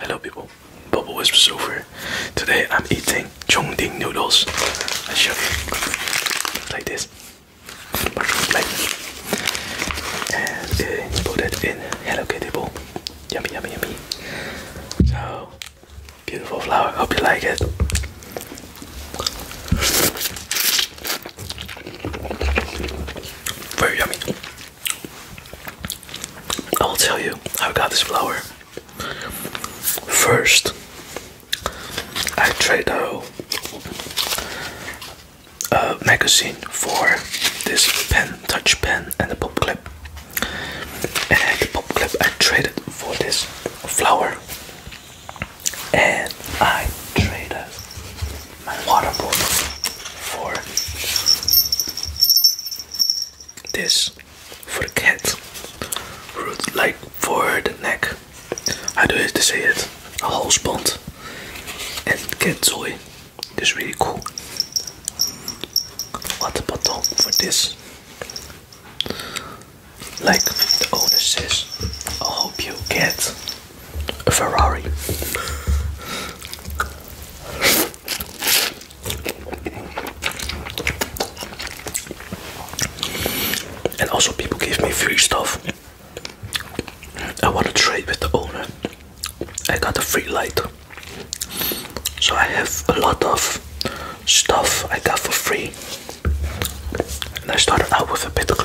Hello people, Bubble Whispers over. Today I'm eating chong Chongding noodles. I show you like this. And uh, put it in Hello Kitty bowl. Yummy yummy yummy. So beautiful flower, hope you like it. Very yummy. I will tell you how I got this flower. First, I traded a, magazine for this pen, touch pen, and the pop clip. And the pop clip I traded for this flower. And I traded my water bottle for this for the cat like for the neck. How do I to say it? A halsband and cat toy. This really cool. What about dog for this? Like the owner says, I hope you get a Ferrari. And also, people gave me free stuff. I want to trade with the owner. I got a free light, so I have a lot of stuff I got for free. And I started out with a bit of.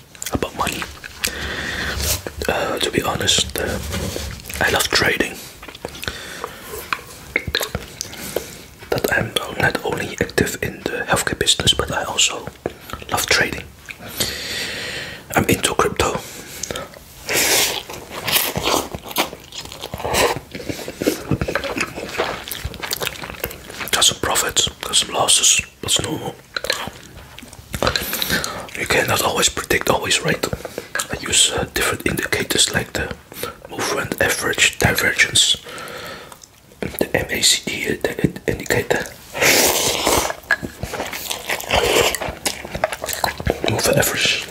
about money. Uh, to be honest, uh, I love trading. That I'm not only active in the healthcare business, but I also love trading. I'm into crypto. Got some profits, got some losses. But That's normal. You cannot always predict always, right? I use uh, different indicators like the movement average divergence, the MACD uh, the indicator, movement average,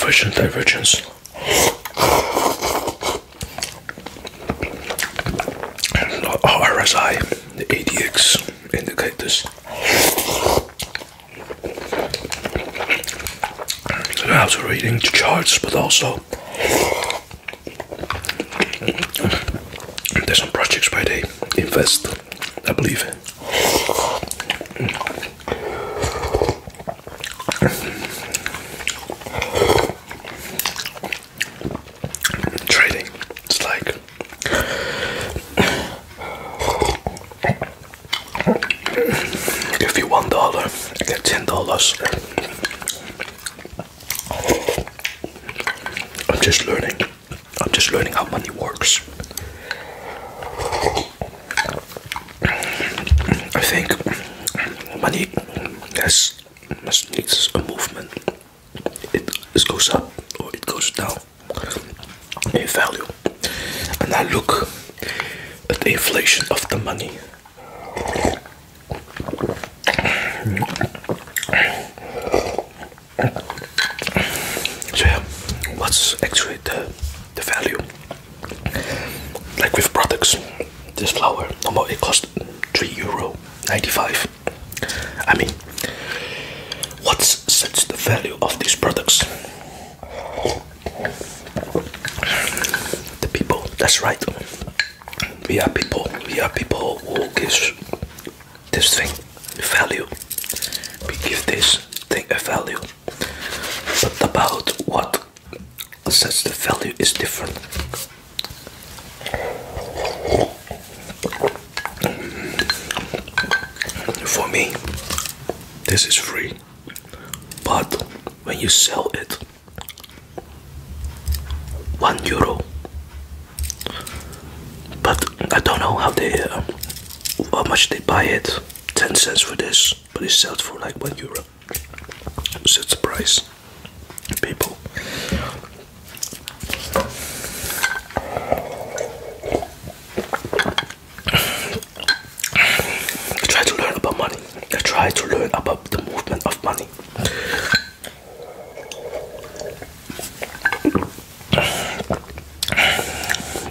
version divergence. RSI the ADX indicators. So I was reading the charts, but also there's some projects where they invest, I believe trading. It's like if you one dollar, get ten dollars. I'm just learning. I'm just learning how money works. I think money has must needs a movement it goes up or it goes down in value. And I look at the inflation of the money. So yeah, what's actually the, the value? Like with products, this flour, no more, it costs 3 euro 95 I mean, what sets the value of these products? The people, that's right. We are people, we are people who give this thing value. We give this thing a value. But about what sets the value is different. For me, this is free, but when you sell it, one euro. But I don't know how they, uh, how much they buy it. Ten cents for this, but it sells for like one euro. So the price people. I try to learn about money. I try to learn about the movement of money.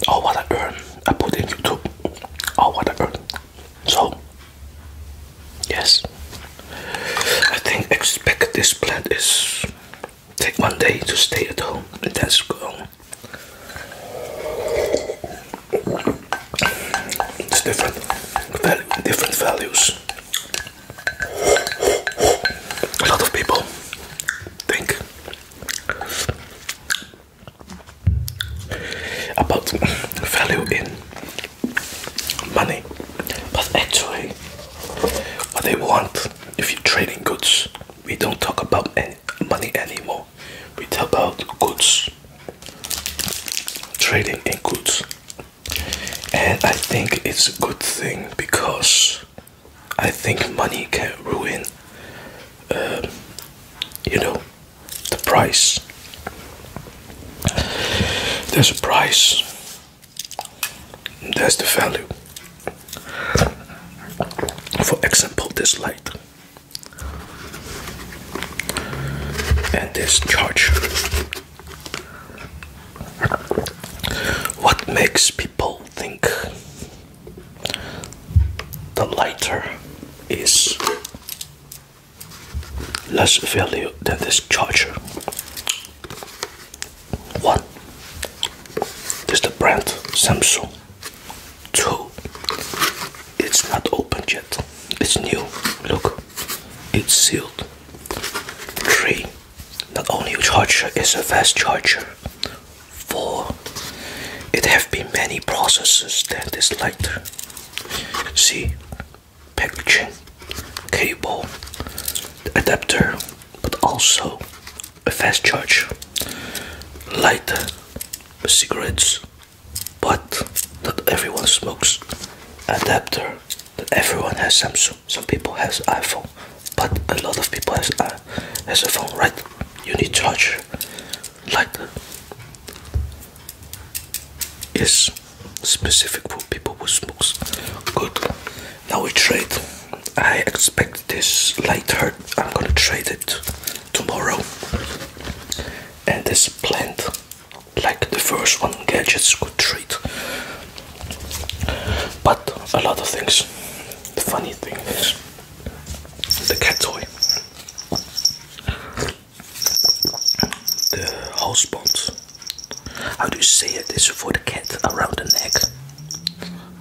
All what I earn, I put in YouTube. All what I earn. So Yes, I think expect this plant is take one day to stay at home and that's gone. It's different, different values. A lot of people think about value in money. But actually, what they want, if you're trading goods, we don't talk about any money anymore. We talk about goods, trading in goods. And I think it's a good thing because I think money can ruin, um, you know, the price there's a price. There's the value. For example, this light and this charger. What makes people think the lighter is less value than this charger. One is the brand Samsung. Two, it's not opened yet. It's new. Look, it's sealed. Three, not only charger is a fast charger. Four, it have been many processes that is this lighter. See, packaging, cable, adapter, but also a fast charge, lighter, cigarettes, but not everyone smokes. Adapter that everyone has Samsung. Some people has iPhone, but a lot of people has uh, has a phone, right? You need charge, lighter, Yes, specific for people who smokes. Good. Now we trade. I expect this light hurt. I'm gonna trade it tomorrow. And this plant, like the first one, gadgets could trade. But a lot of things. The funny thing is the cat toy the housebond. How do you say it? This for the cat around the neck.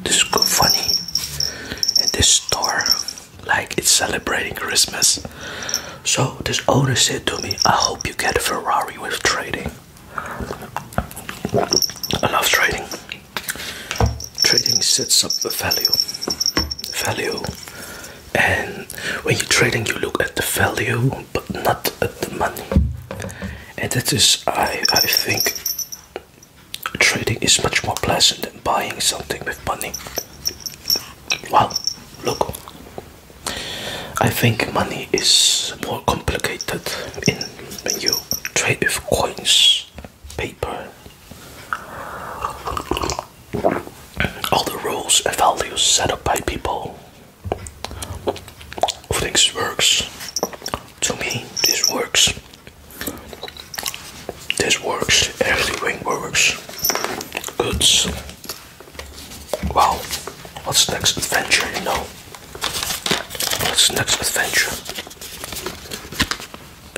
This is good, funny. And this store, like it's celebrating Christmas. So this owner said to me, I hope you get a Ferrari with trading. I love trading. Trading sets up the value. Value and when you're trading you look at the value but not at the money and that is i i think trading is much more pleasant than buying something with money wow look i think money is more complicated in you trade with coins paper all the rules and values set up by people things works to me this works this works everything works good wow what's next adventure you know what's next adventure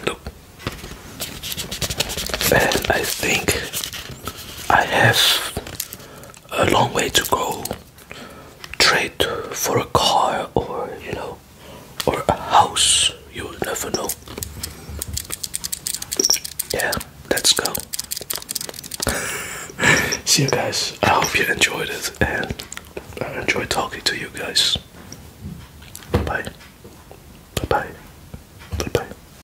look and I think I have a long way to go trade for a car or you know or a house you will never know yeah let's go see you guys I hope you enjoyed it and I enjoy talking to you guys bye bye bye bye bye bye